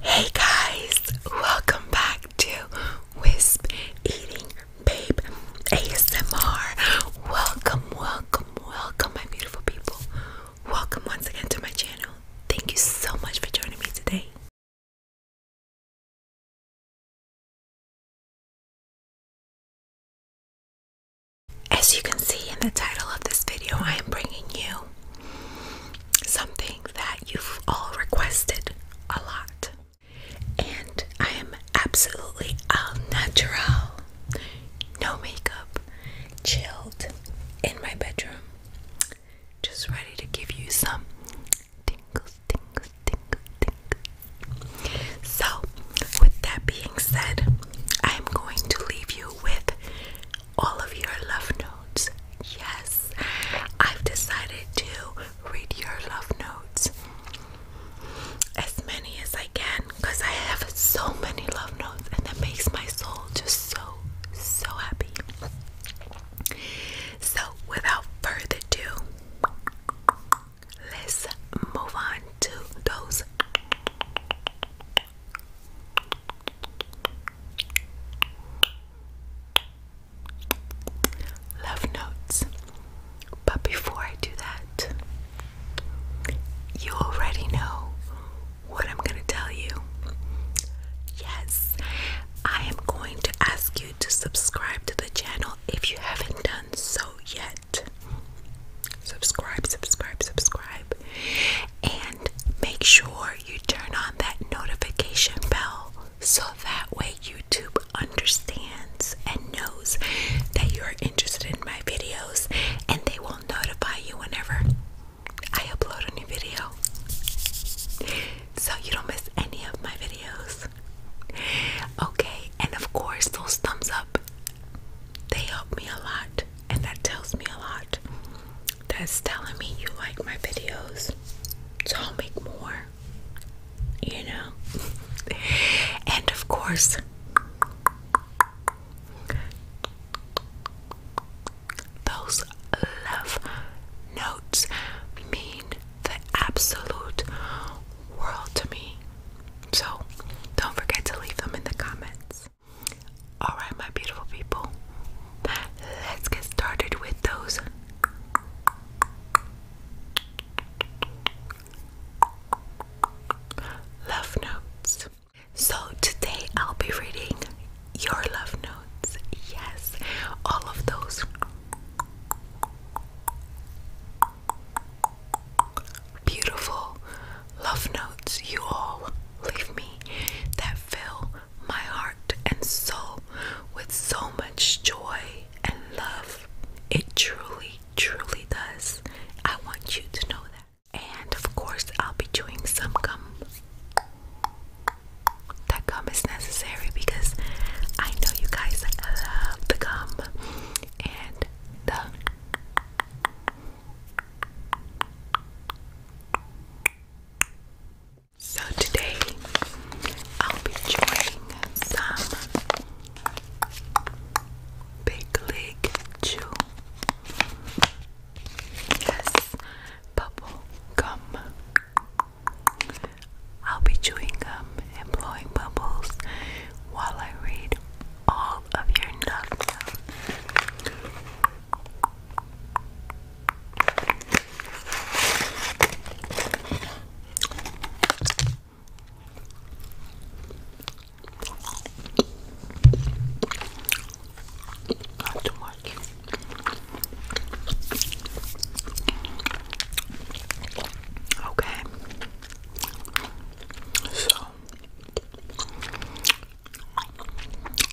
Hey guys, welcome back to Wisp Eating Babe ASMR. Welcome, welcome, welcome, my beautiful people. Welcome once again to my channel. Thank you so much for joining me today. As you can see in the title of this video, I am bringing you something that you've all requested a lot. And I am absolutely al natural, no makeup, chilled in my bedroom, just ready to give you some tingles, tingles, tingles, tingles. So, with that being said, I am going to leave you with all of your love notes. Yes, I've decided to read your love notes as many as I can because I have so many love notes, and that makes my soul just so, so happy. So, without further ado, let's move on to those Love notes. But before I do that, you already know what I'm going to tell you. Yes, I am going to ask you to subscribe to the channel if you haven't done so yet. Subscribe, subscribe, subscribe. And make sure you turn on that notification bell so that way YouTube understands and knows that you're interested in my videos and they will notify you whenever I upload a new video so you don't miss any of my videos. Okay, and of course, those thumbs up they help me a lot and that tells me a lot that's telling me you like my videos so I'll make more you know and of course those love notes mean the absolute world to me so don't forget to leave them in the comments Alright, my beautiful people, let's get started with those. Love notes. So, today I'll be reading your love notes. Yes, all of those beautiful love notes you all leave me that fill my heart and soul with so much joy and love. It truly, truly does. I want you to know that. And of course, I'll be chewing some gum. That gum is necessary because I know you guys love the gum and the. So today I'll be doing some big league chew. Yes, bubble gum. I'll be chewing gum and blowing bubbles while I read all of your notes. Not too much. Okay. So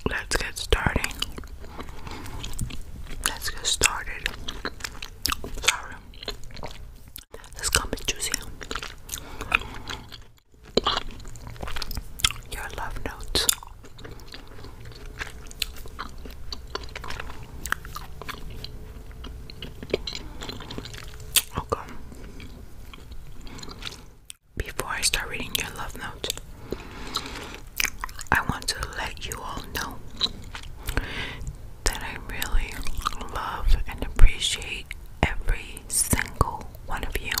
Let's get started. Let's get started. Sorry. Let's come and juicy. Your love notes. Okay. Before I start reading your love note, I want to let you all know that I really love and appreciate every single one of you.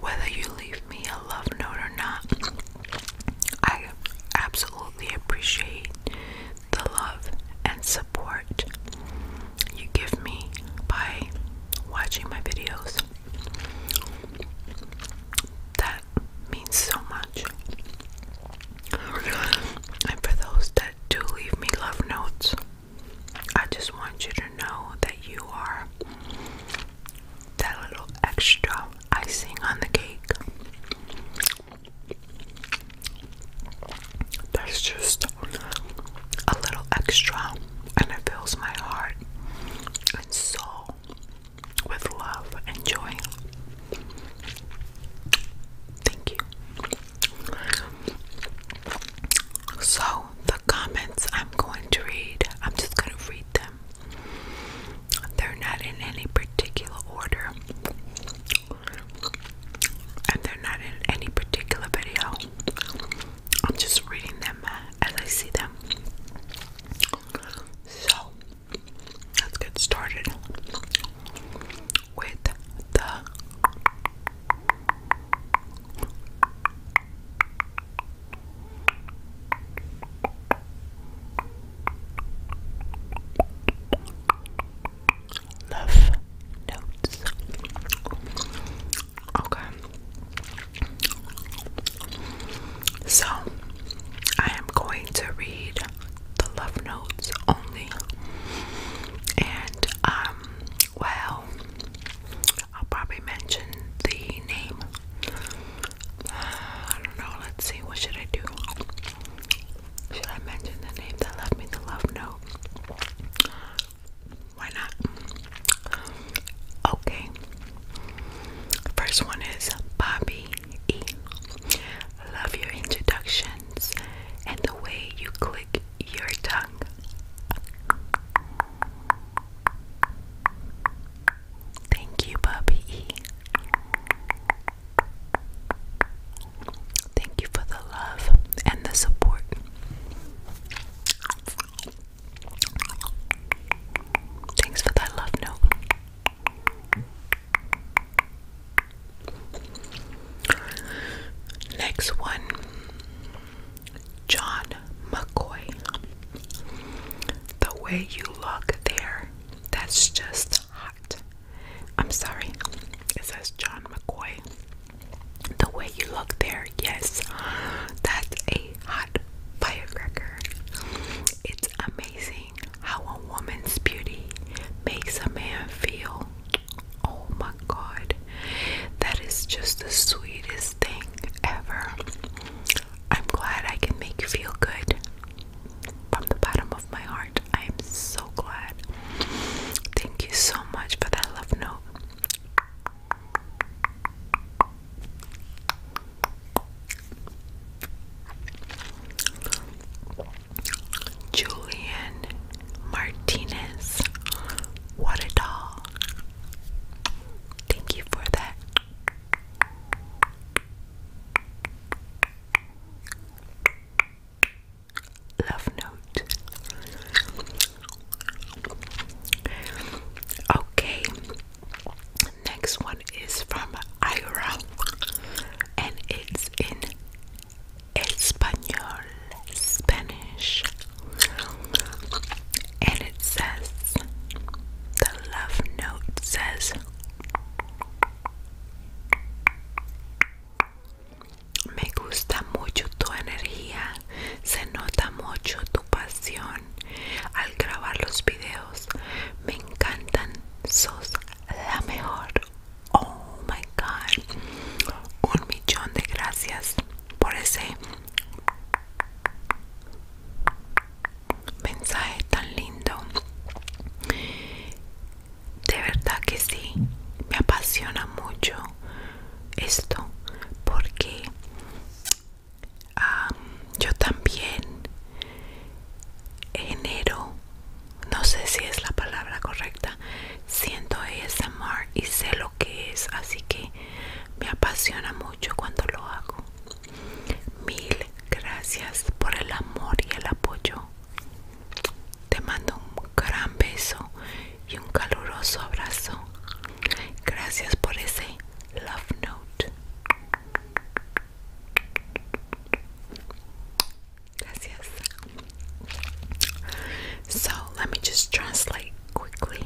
Whether you leave me a love note or not, I absolutely appreciate the love and support you give me by watching my videos. That means so much. And for those that do leave me love notes, I just want you to know that you are that little extra icing on the cake. There's just a little extra and it fills my heart and soul with love and joy. Thank you. So, the comments I'm going to read, I'm just going to read them. They're not in any particular order, and they're not in any particular video. I'm just reading them as I see them. So let's get started with the love notes Okay. So, I am going to read the love notes only. And, um, well, I'll probably mention the name. I don't know. Let's see. What should I do? Should I mention the name that left me the love note? Why not? Okay. First one is Bobby E. Love your introductions and the way you click your tongue. Thank you, Bobby E. Thank you for the love and the support. Thanks for that love note. Next one John McCoy. The way you look there, that's just hot. I'm sorry, it says John McCoy. The way you look there Yes, that's a hot firecracker. It's amazing how a woman's beauty makes a man feel. Oh my god, that is just the sweetest thing ever. I'm glad I can make you feel good from the bottom of my heart. I am so glad. Thank you so much for that love note. Julian Martinez, what a doll. Thank you for that. Love note. Okay, next one is from Ira and it's in Espanol, Spanish, and it says the love note says. Me gusta mucho tu energía, se nota mucho tu pasión, al grabar los videos. Me encantan. Sos la mejor. Oh my god. Un millón de gracias por ese mensaje tan lindo. De verdad que sí. Me apasiona mucho esto porque yo también genero, no sé si es la palabra correcta, siento amor y sé lo que es, así que me apasiona mucho cuando lo hago. Mil gracias por el amor y el apoyo. Te mando un gran beso y un caluroso abrazo. Gracias por ese love note. So let me just translate quickly.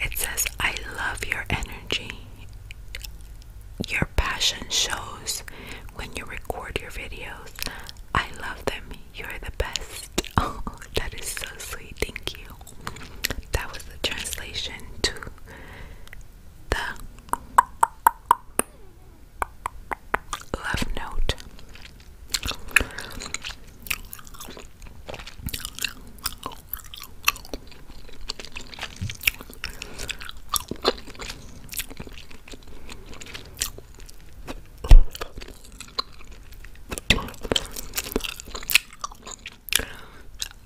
It says, I love your energy. Your passion shows when you record your videos. I love them. You're the best. Oh, that is so sweet. Thank you. That was the translation to the love note.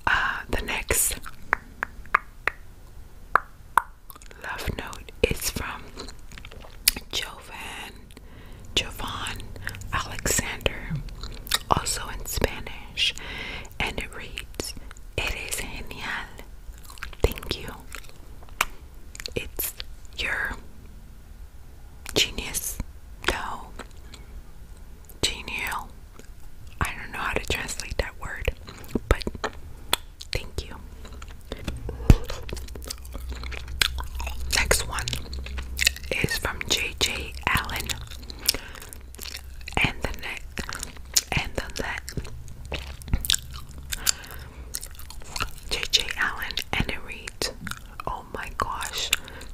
Uh, the next love note is from Jovan, Jovan Alexander, also in Spanish, and it reads, Eres genial. Thank you. It's your Genius. No. Genial. I don't know how to translate that word, but thank you. Next one is from JJ Allen. And the neck and the neck. JJ Allen and it reads Oh my gosh,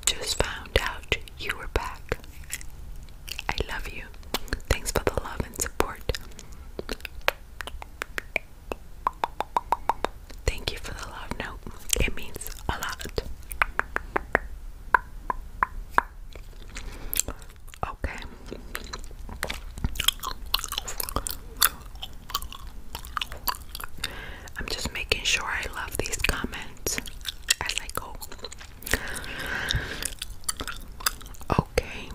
just found out you were back. I love you. Thanks for the love and support. Thank you for the love note. It means a lot. Okay. I'm just making sure I love these comments as I go. Okay.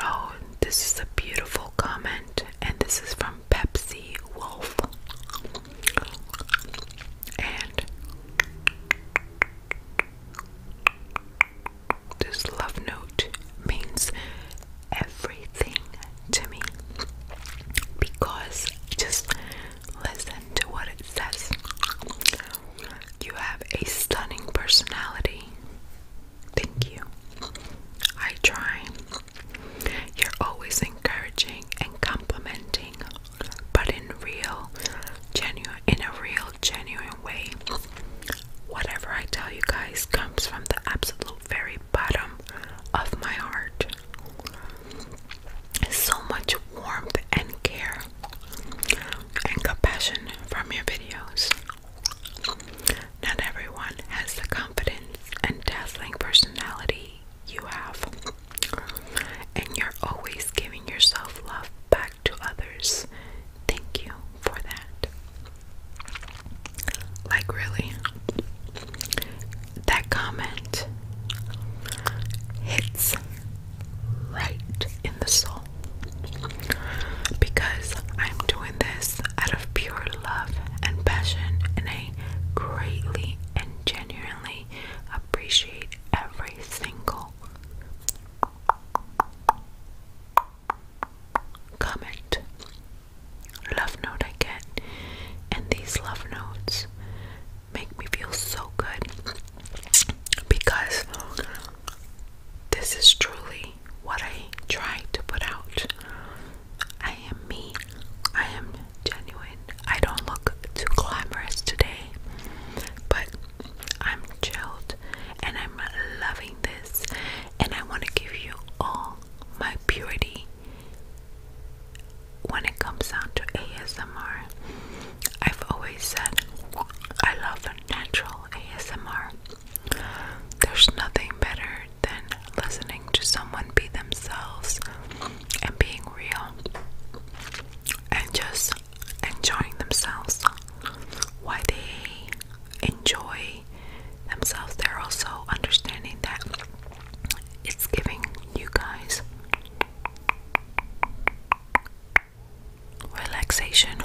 Oh, this is a beautiful comment, and this is from Pepsi Wolf. And this love note means everything to me because just listen to what it says. You have a stunning personality. Thank you. I try. You're always encouraging and complimenting, but in real, genuine, in a real, genuine way. Whatever I tell you guys comes from the absolute very bottom of my heart so much warmth and care and compassion from your videos. Not everyone has the confidence and dazzling personality you have, and you're always giving yourself love back to others. Thank you for that. Like, really, that comment hits right in the soul because I'm doing this out of pure love and passion, and I greatly and genuinely appreciate every single comment love note I get, and these love notes make me feel so good because this is truly what I try to put out. I am me, I am genuine. I don't look too glamorous today, but I'm chilled and I'm loving this, and I want to give you all my purity when it comes down to ASMR, I've always said I love natural ASMR. There's nothing better than listening to someone be themselves and being real and just enjoying themselves. Why they enjoy themselves, they're also understanding that it's giving you guys relaxation,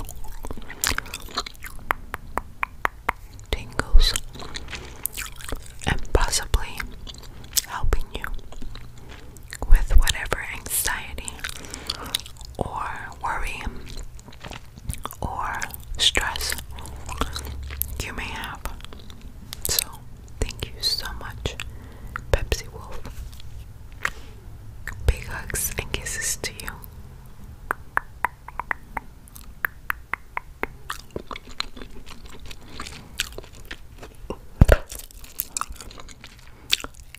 tingles, and possibly helping you with whatever anxiety or worry or stress you may have. So, Thank you so much, Pepsi Wolf. Big hugs and kisses to you.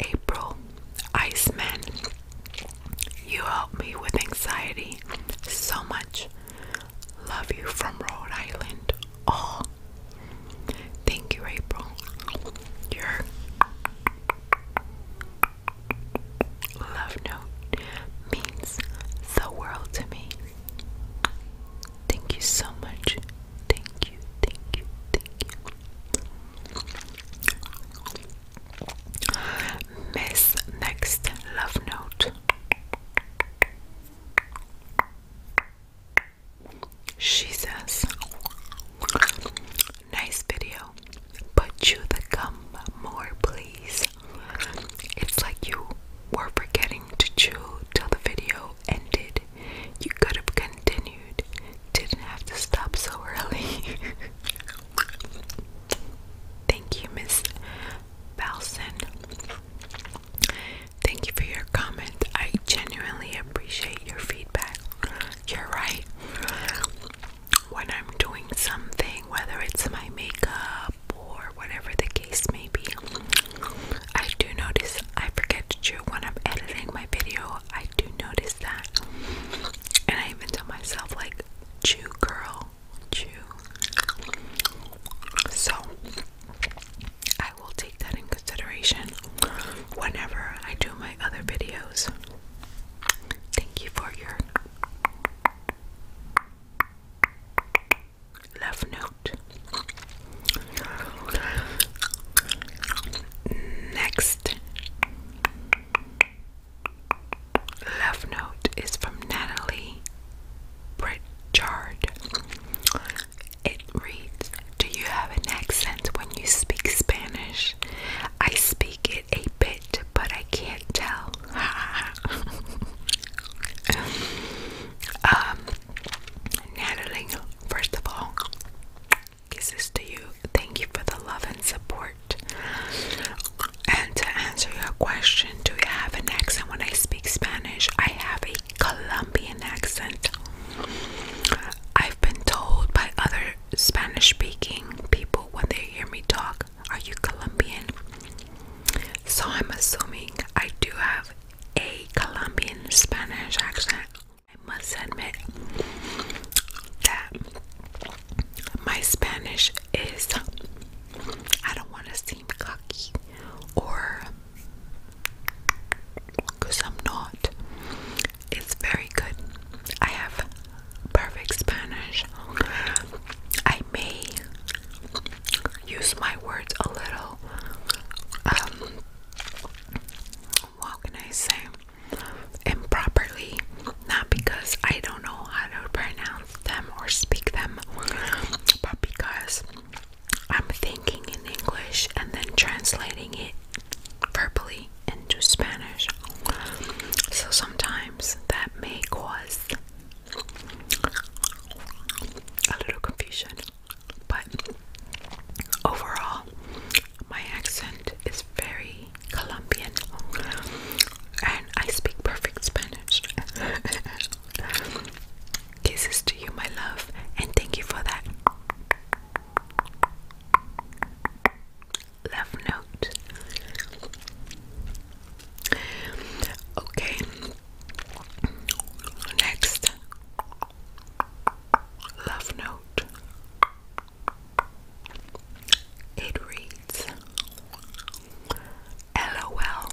April, Iceman, you help me with anxiety so much. Love you from Rhode Island. Oh, thank you, April. Your love note means the world to me. Thank you so much. Thank you, thank you, thank you. Miss next love note. She says, Nice video, but chew the gum more, please. It's like you were forgetting to chew till the video ended. You could have continued, didn't have to stop so early. Thank you, Miss Balson. Thank you for your comment. I genuinely appreciate your feedback. You're right. When I'm doing something, whether it's my makeup or whatever the case may be, I do notice I forget to chew when I'm editing my video. I do notice that. And I even tell myself, like, chew, girl, so I will take that in consideration whenever I do my other videos. Thank you for your love note. Next love note is from Natalie Pritchard. It reads Do you have an accent when you speak Spanish? I speak it a bit, but I can't tell. um, Natalie, first of all, kisses to you. Thank you for the love and support. And to answer your question, do you have an accent when I speak Spanish? I have a Colombian accent. I've been told by other Spanish speaking people when they hear me talk, Are you Colombian? So I'm assuming I do have a Colombian Spanish accent. I must admit that my Spanish is, I don't want to cocky or because I'm not. It's very good. I have perfect Spanish. I may use my words a little. Um, what can I say? Improperly, not because I don't know how to pronounce them or speak them, but because I'm thinking in English and then translating it verbally into Spanish. So sometimes that may cause a little confusion, but overall, my accent is very Colombian and I speak perfect Spanish. Kisses to you, my love, and thank you for that love note. Okay, next love note. It reads LOL.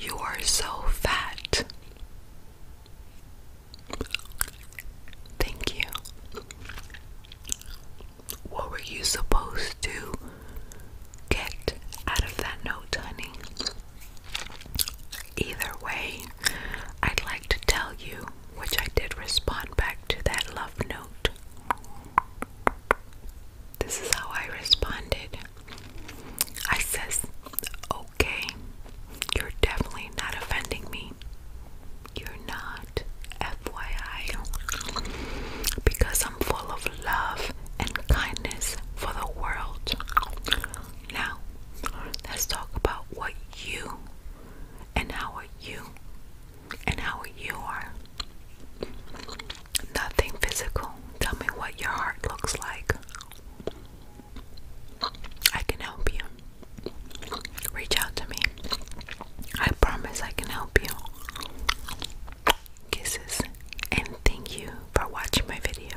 You are so fat. Thank you. What were you supposed to get out of that note, honey? Either way, I'd like to tell you, which I did respond back to that love note. This is how I responded. I says, okay, you're definitely not offending me. You're not, FYI, because I'm full of love and kindness for the world. Now, let's talk about what you and how are you and how you are. Nothing physical. Tell me what your heart looks like. I can help you. Reach out to me. I promise I can help you. Kisses, and thank you for watching my video.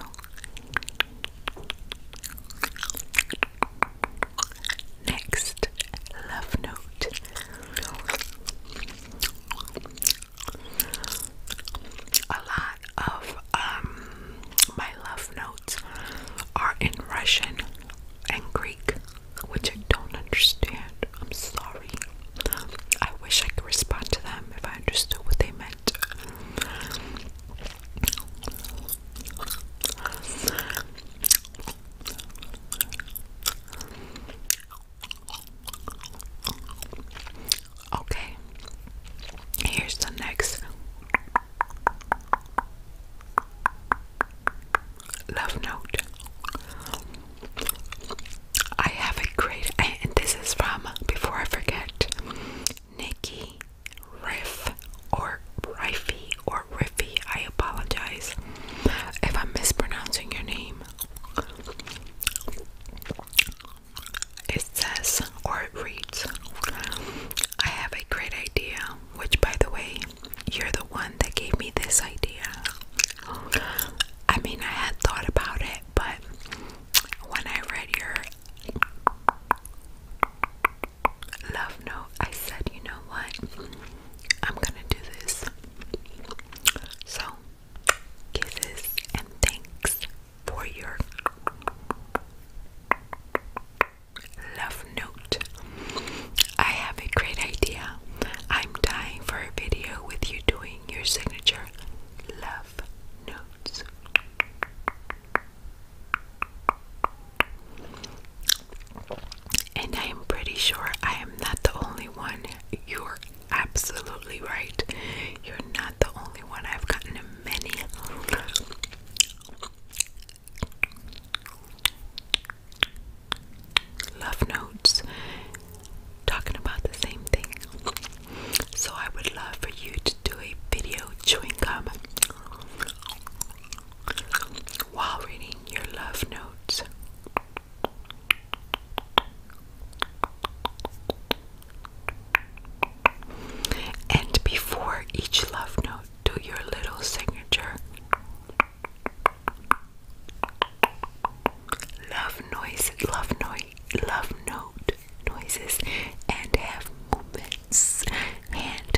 Next love note a lot of um, my love notes are in Russian and Greek, which I don't understand. I'm sorry. I wish I could respond to them if I understood what they meant. Okay, here's the next love note. I have a great, and this is from before I forget Nikki Riff or Riffy or Riffy. I apologize if I'm mispronouncing your name. It says, or reads, I have a great idea, which, by the way, you're the one that gave me this idea. I mean, I had thought about it, but when I read your love note, I said, you know what? I'm gonna do this. So, Kisses and thanks for your love note. I have a great idea. I'm dying for a video with you doing your signature love notes. And I am pretty sure I am not the only one you're absolutely right. You're not the only one. I've gotten many. Love notes talking about the same thing. So, I would love for you to do a video chewing gum while reading your love notes. And before each love note, do your little signature. Love noise, love noise, love note noises, and have movements, hand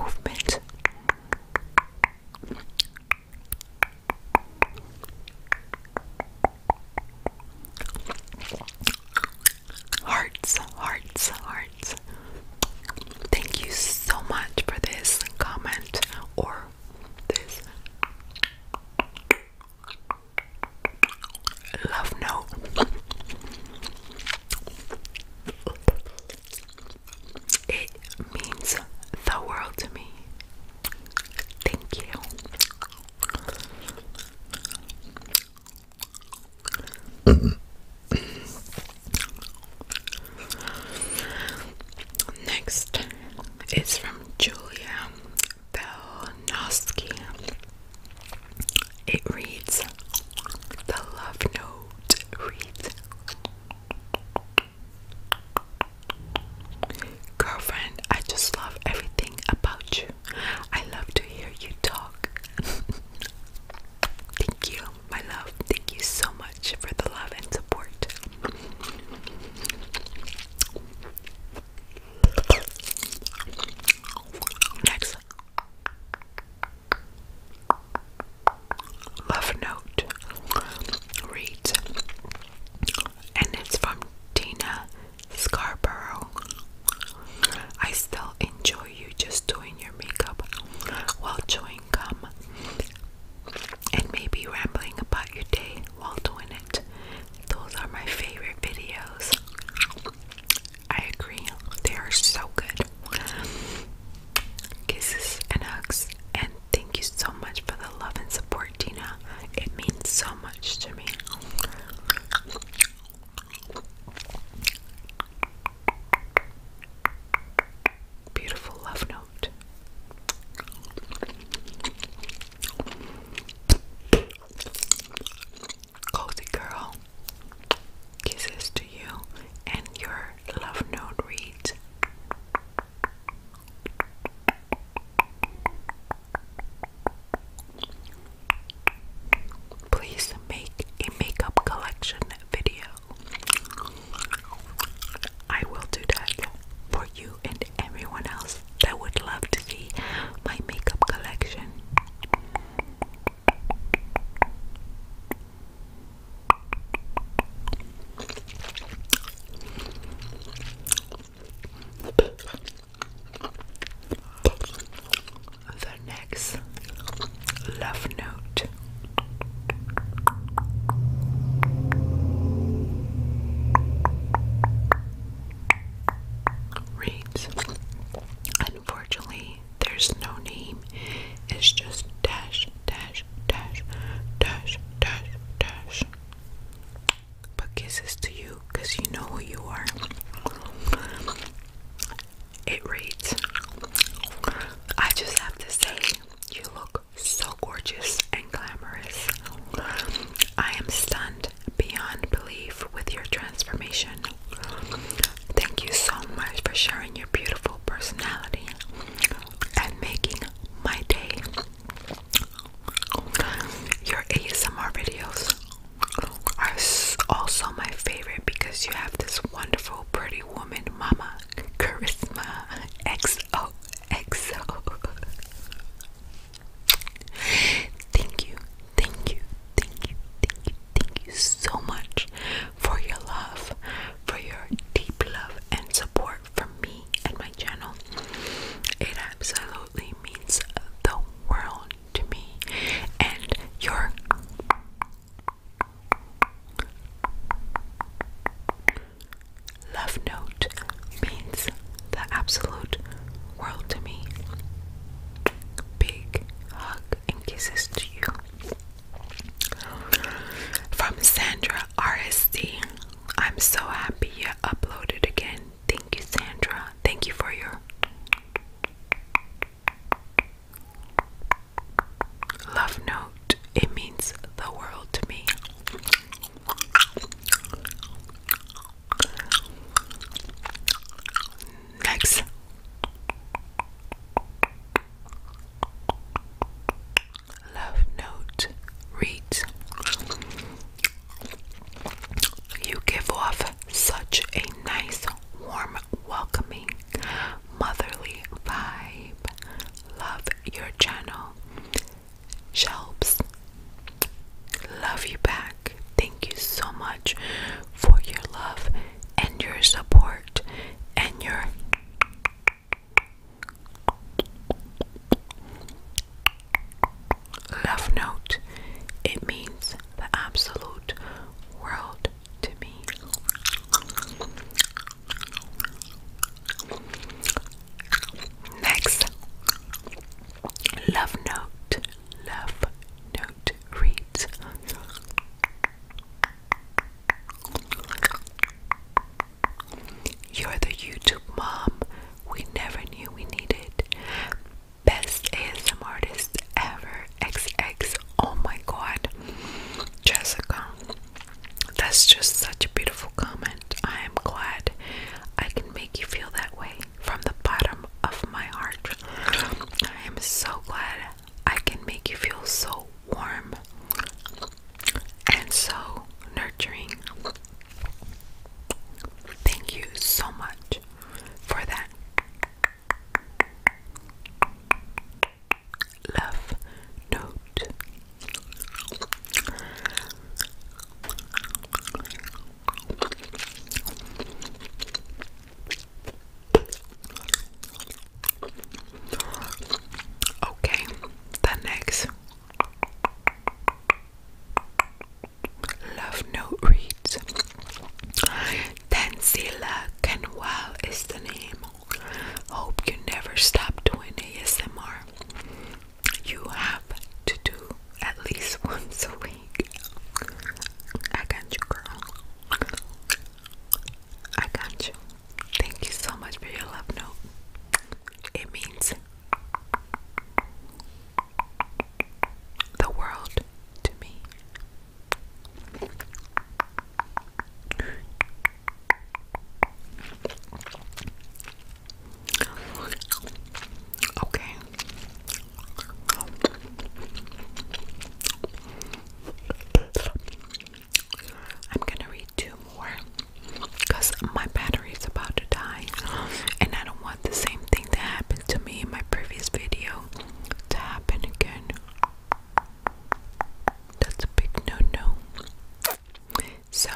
movement. Hearts, hearts, hearts. Thank you so much for this comment or this love note. It means the world to me. Thank you. Next is from Julia Belnoski. It reads The Love Note reads Girlfriend, I just love everything about you. I love to hear you talk. Thank you, my love. Thank you so much for the love and support. Next love note reads and it's from Tina Scarborough. I still enjoy you just doing your makeup while chewing gum and maybe rambling about your day while doing it. Those are my favorite videos. I agree, they are so good. Kisses and hugs, and Thank you so much for the love and support, Tina. It means so much to me. Beautiful love note. Cozy girl, kisses to you, and your love note reads Please make a makeup collection video. I will do that for you and everyone else that would love to see my makeup collection. The next love note. Reads. Unfortunately, there's no name. It's just dash, dash, dash, dash, dash, dash. But kisses to you because you know who you are. It reads I just have to say, you look so gorgeous and glamorous. I am stunned beyond belief with your transformation. Thank you so much for sharing your beautiful personality and making my day. Your ASMR videos are also my favorite because you have this wonderful, pretty woman, mama, charisma, XO, XO. Thank you, thank you, thank you, thank you, thank you so much for your love, for your deep love and support support from me and my channel. It absolutely means the world to me. And your love note means the absolute world to me. Big hug and kisses to you. From Sandra RSD. I'm so happy you uploaded again. Thank you, Sandra. Thank you for your love note. It means the world to me. Next love note reads You give off such a nice, warm, welcoming, motherly vibe. Love your channel. Shelps. Love you back. Thank you so much for your love and your support and your Love note. It means the absolute world to me. Next, love note. Love note reads. You're the YouTube mom we never knew we needed. Best ASM artist ever. X X. Oh my god. Jessica. That's just such a beautiful comment. I am glad I can make you feel that way from the bottom of my heart. I am so glad I can make you feel so warm and so nurturing. Thank you so much for that. Love note. Okay, the next Love Note reads Tansila Kenwal is the name. Hope you never stop doing ASMR. You have to do at least once a week. I got you, girl. I got you. Thank you so much for your love note. It means the world to me. Okay. I'm gonna read two more because my battery's about to die, and I don't want the same thing that happened to me in my previous video to happen again. That's a big no no. So,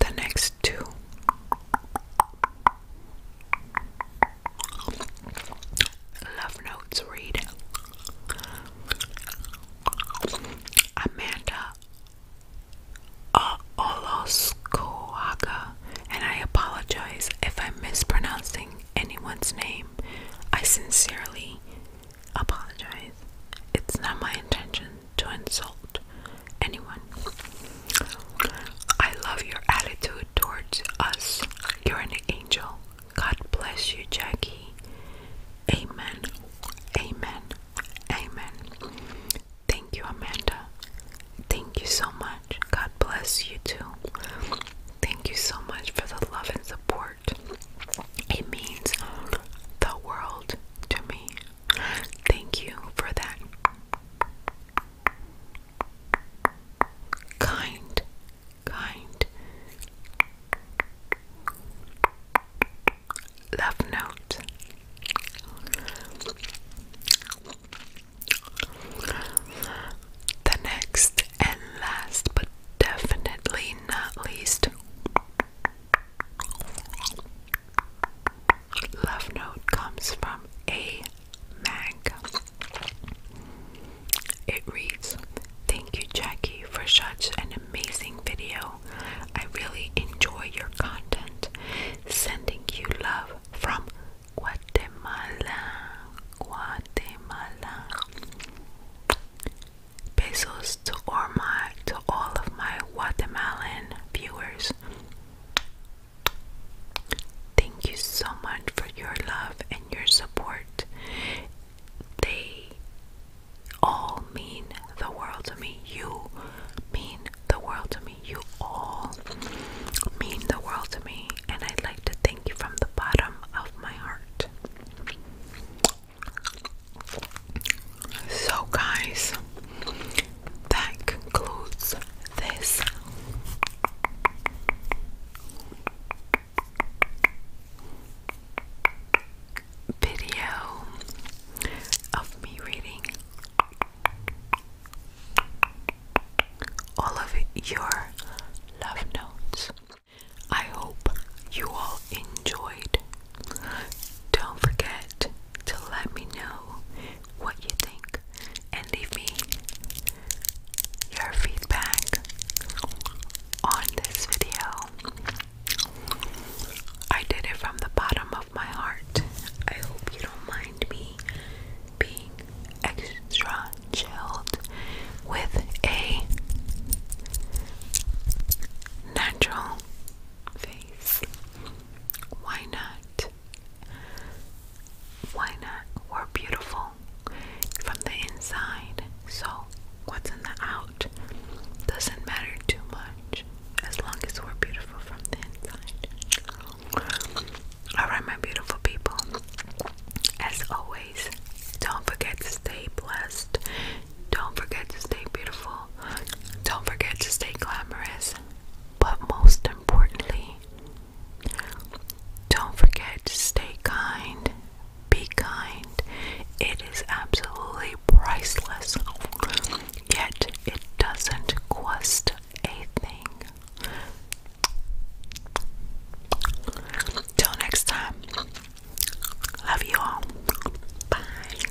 the next two. Love notes read Amanda Olaskoaga, and I apologize if I'm mispronouncing anyone's name. I sincerely apologize. It's not my intention to insult anyone. I love your attitude towards us. You're an angel. God bless you, Jackie. Amen. Amen. Amen. Thank you, Amanda. Thank you so much. God bless you too. Thank you so much for the love and support. It means the world to me. Thank you for that kind, kind, love note. The next and last, but definitely not least, love note comes from a mag. It reads, Thank you, Jackie, for such an amazing video. I really enjoy your content. Sending you love from Guatemala. Guatemala. Pesos to all my to all of my Guatemalan viewers. Thank you so much for your love and your support. They all mean the world to me. You mean the world to me. You all mean the world to me. And I'd like to thank you from the bottom of my heart. So, guys, that concludes this video of me reading all of your love notes. I hope you all enjoyed. Don't forget to let me know what you think and leave me your feedback on this video. I did it from the bottom of my heart. I hope you don't mind me being extra chilled with a natural face. Why not? Why not? We're beautiful from the inside. So what's in the out doesn't matter too much as long as we're beautiful from the inside. Alright, my beautiful people, as always, don't forget to stay blessed, don't forget to stay beautiful, don't forget to stay glamorous, but most importantly, don't forget to stay kind, be kind. It is absolutely priceless, yet it doesn't cost a thing. Till next time, love you all. Bye.